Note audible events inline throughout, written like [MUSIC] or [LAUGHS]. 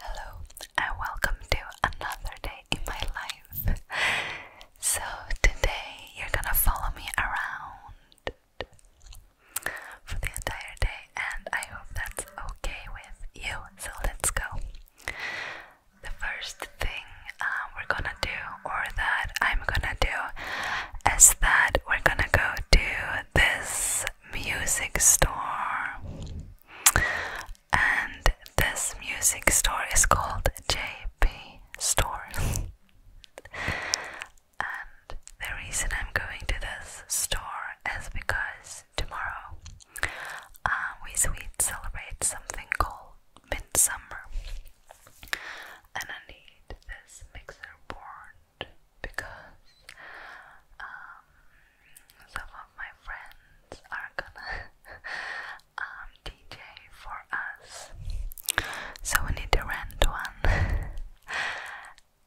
Hello and welcome to another day in my life. So, today you're gonna follow me around for the entire day, and I hope that's okay with you. So, let's go. The first thing uh, we're gonna do, or that I'm gonna do, is that we're gonna go to this music store and this music store is called JP Store. [LAUGHS] and the reason I'm going to this store is because tomorrow uh, we Swedes celebrate something called Midsummer, and I need this mixer board because um, some of my friends are gonna [LAUGHS] um, DJ for us, so we need to rent one, [LAUGHS]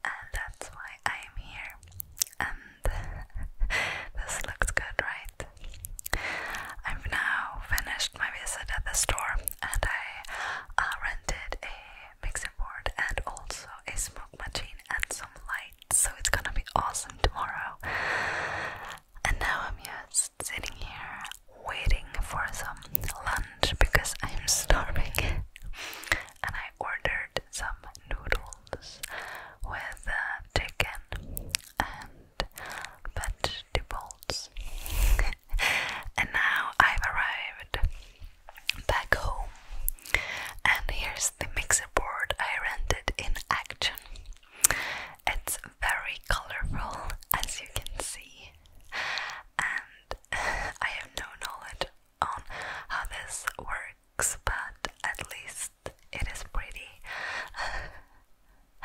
and that's why I'm here. And [LAUGHS] this looked good, right? I've now finished my visit at the store, and I uh, rented a mixing board and also a smoke machine and some lights. So it's gonna be awesome tomorrow. And now I'm just sitting here waiting for some lunch because I'm [LAUGHS] starving. and I ordered some noodles with uh, chicken and vegetables. [LAUGHS] and now I've arrived back home. And here's the mixer board I rented in action. It's very colorful, as you can see, and [LAUGHS] I have no knowledge on how this works, but at least it is pretty. [LAUGHS]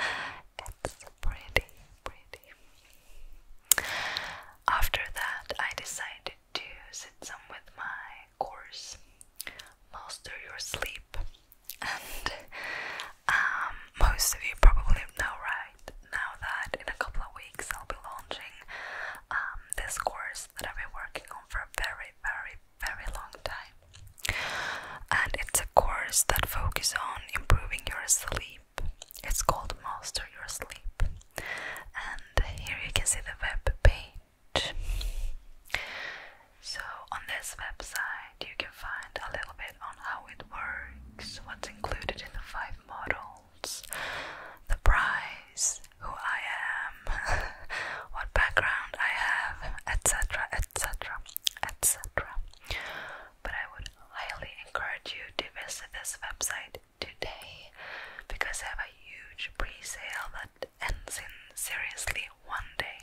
it's pretty, pretty. After that, I decided to sit some with my course, Master Your Sleep, and um, most of you probably know right now that in a couple of weeks I'll be launching um, this course that I've been working on for a very, very, very long time. And it's a course that focuses on improving your sleep it's called Master Your Sleep. And here you can see the web page. So, on this website, you can find a little bit on how it works, what's included in the five models, the price, who I am, [LAUGHS] what background I have, etc., etc., etc but I would highly encourage you to visit this website today because I have a huge pre-sale that ends in seriously one day.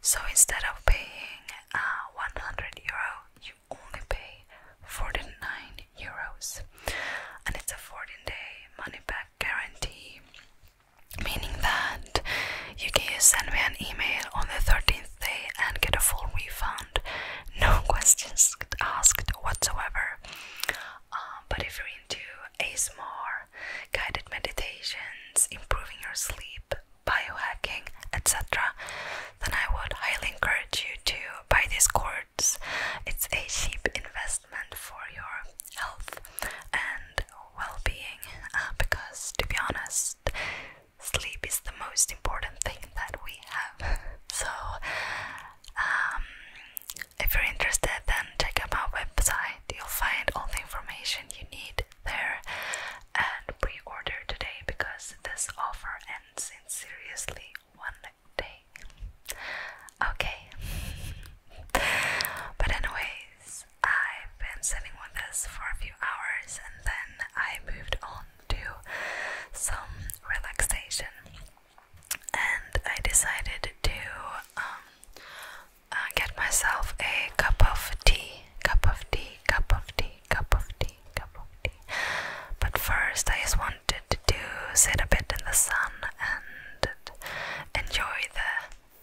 So instead of paying uh, 100 euro, you only pay 49 euros, and it's a 14-day money-back guarantee. Meaning that you can send me an email on the 13th day and get a full refund no [LAUGHS] questions asked whatsoever. Um, but if you're into ASMR, guided meditations, improving your sleep, biohacking, etc., then I would highly encourage you to buy these cords. It's a cheap investment for your health and well being uh, because, to be honest, sleep is the most important thing that we have. [LAUGHS] so, um, if you're interested, then check out my website. You'll find all the information you need there and pre order today because this offer ends seriously one day. Okay. [LAUGHS] but, anyways, I've been sitting with this for a few hours and then I moved on to some relaxation and I decided to um, uh, get myself a cup of tea, cup of tea, cup of tea, cup of tea, cup of tea. But first, I just wanted to sit a bit in the sun and enjoy the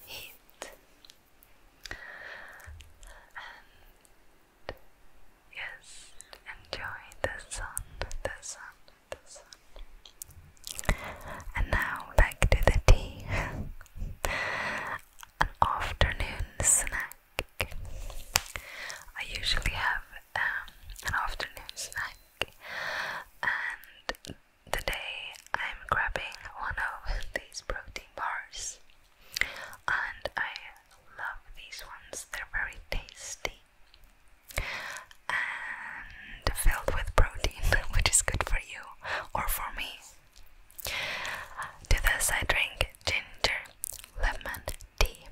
heat. And yes, enjoy the sun, the sun, And now back to the tea. [LAUGHS] An afternoon snack. I usually have um, an afternoon snack, and Today I'm grabbing one of these protein bars and I love these ones, they're very tasty and filled with protein, [LAUGHS] which is good for you or for me. To this, I drink ginger lemon tea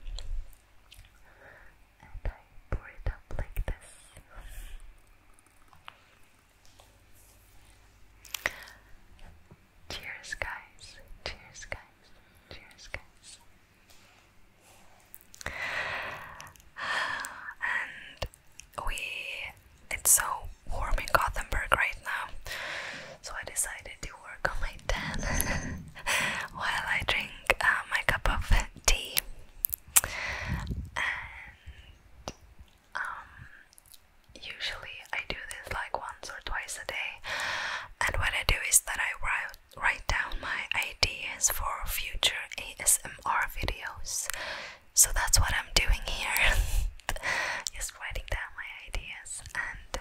and I pour it up like this. Cheers, guys. Cheers, guys. Cheers, guys. And we it's so warm in Gothenburg right now. So I decided to work on my tan [LAUGHS] while I drink uh, my cup of tea. And um, usually I do this like once or twice a day, and what I do is that I write write down my ideas for future ASMR videos. So that's what I'm doing here. [LAUGHS] Just writing down my ideas, and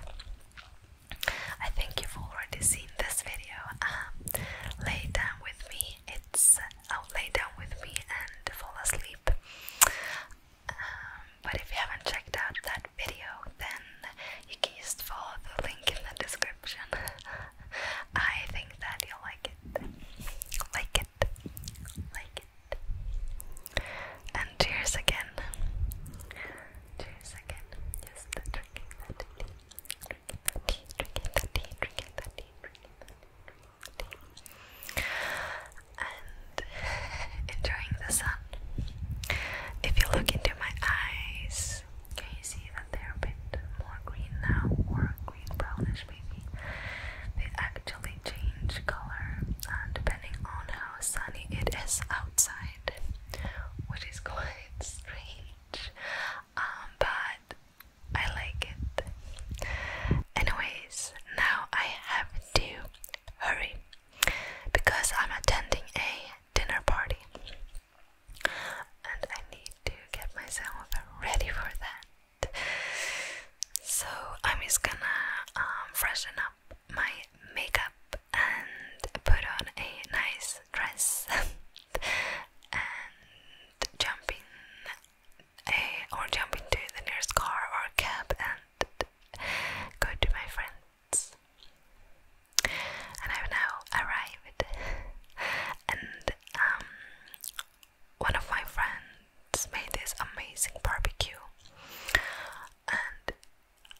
I think you've already seen this video. Um, lay down with me minutes, lay down with me and fall asleep. Um, but if you haven't checked out that video, then you can just follow the link in the description. [LAUGHS] I think that you'll like it. Like it. Like it. And cheers again. Cheers again. Just drinking and [LAUGHS] enjoying the sun. If you look into my eyes, can you see that they're a bit more green now, or green brownish maybe? They actually change color uh, depending on how sunny it is outside, which is [LAUGHS] quite strange. Um, but I like it. Anyways, now I have to hurry because I'm attending a dinner party and I need to get myself ready for that. So I'm just gonna um, freshen up my makeup and put on a nice dress [LAUGHS] and jump eh, or jump into the nearest car or cab and go to my friends. And I've now arrived. and um, one of my friends made this amazing barbecue, and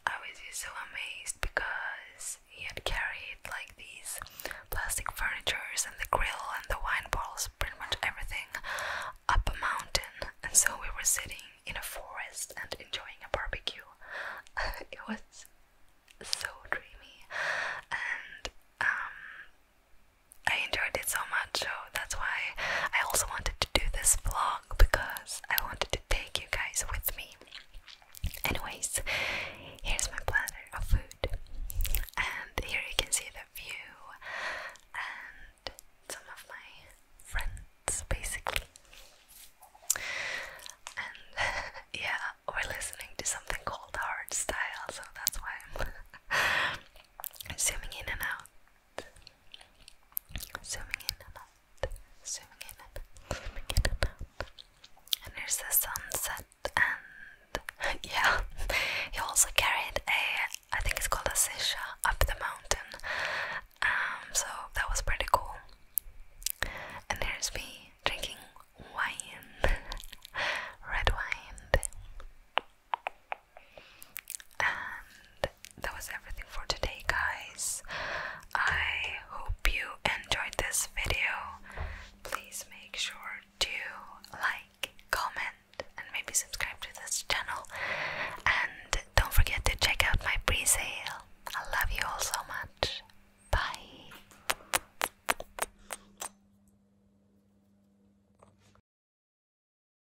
I was just so amazed because he had carried like these plastic furnitures and the grill and the wine bottles, pretty much everything, up a mountain. And so we were sitting in a forest and enjoying a barbecue. [LAUGHS] it was so dreamy, and um, I enjoyed it so much. So that's why I also wanted to do this vlog because I wanted to take you guys with me. Anyways, here's my platter of food, and here you can see the view and some of my friends, basically. And [LAUGHS] yeah, we're listening to something called hardstyle, so that's why I'm [LAUGHS] zooming in and out, zooming in and out zooming in, zooming in and out. And there's the sunset, and [LAUGHS] yeah, he also carried a, I think it's called a sisha, up the mountain. Um, so that was pretty cool. And there's me drinking wine, [LAUGHS] red wine. And that was everything for today, guys. I hope you enjoyed this video. Please make sure to like, comment, and maybe subscribe to this channel. And don't forget to check out my pre sale. I love you all so much. Bye.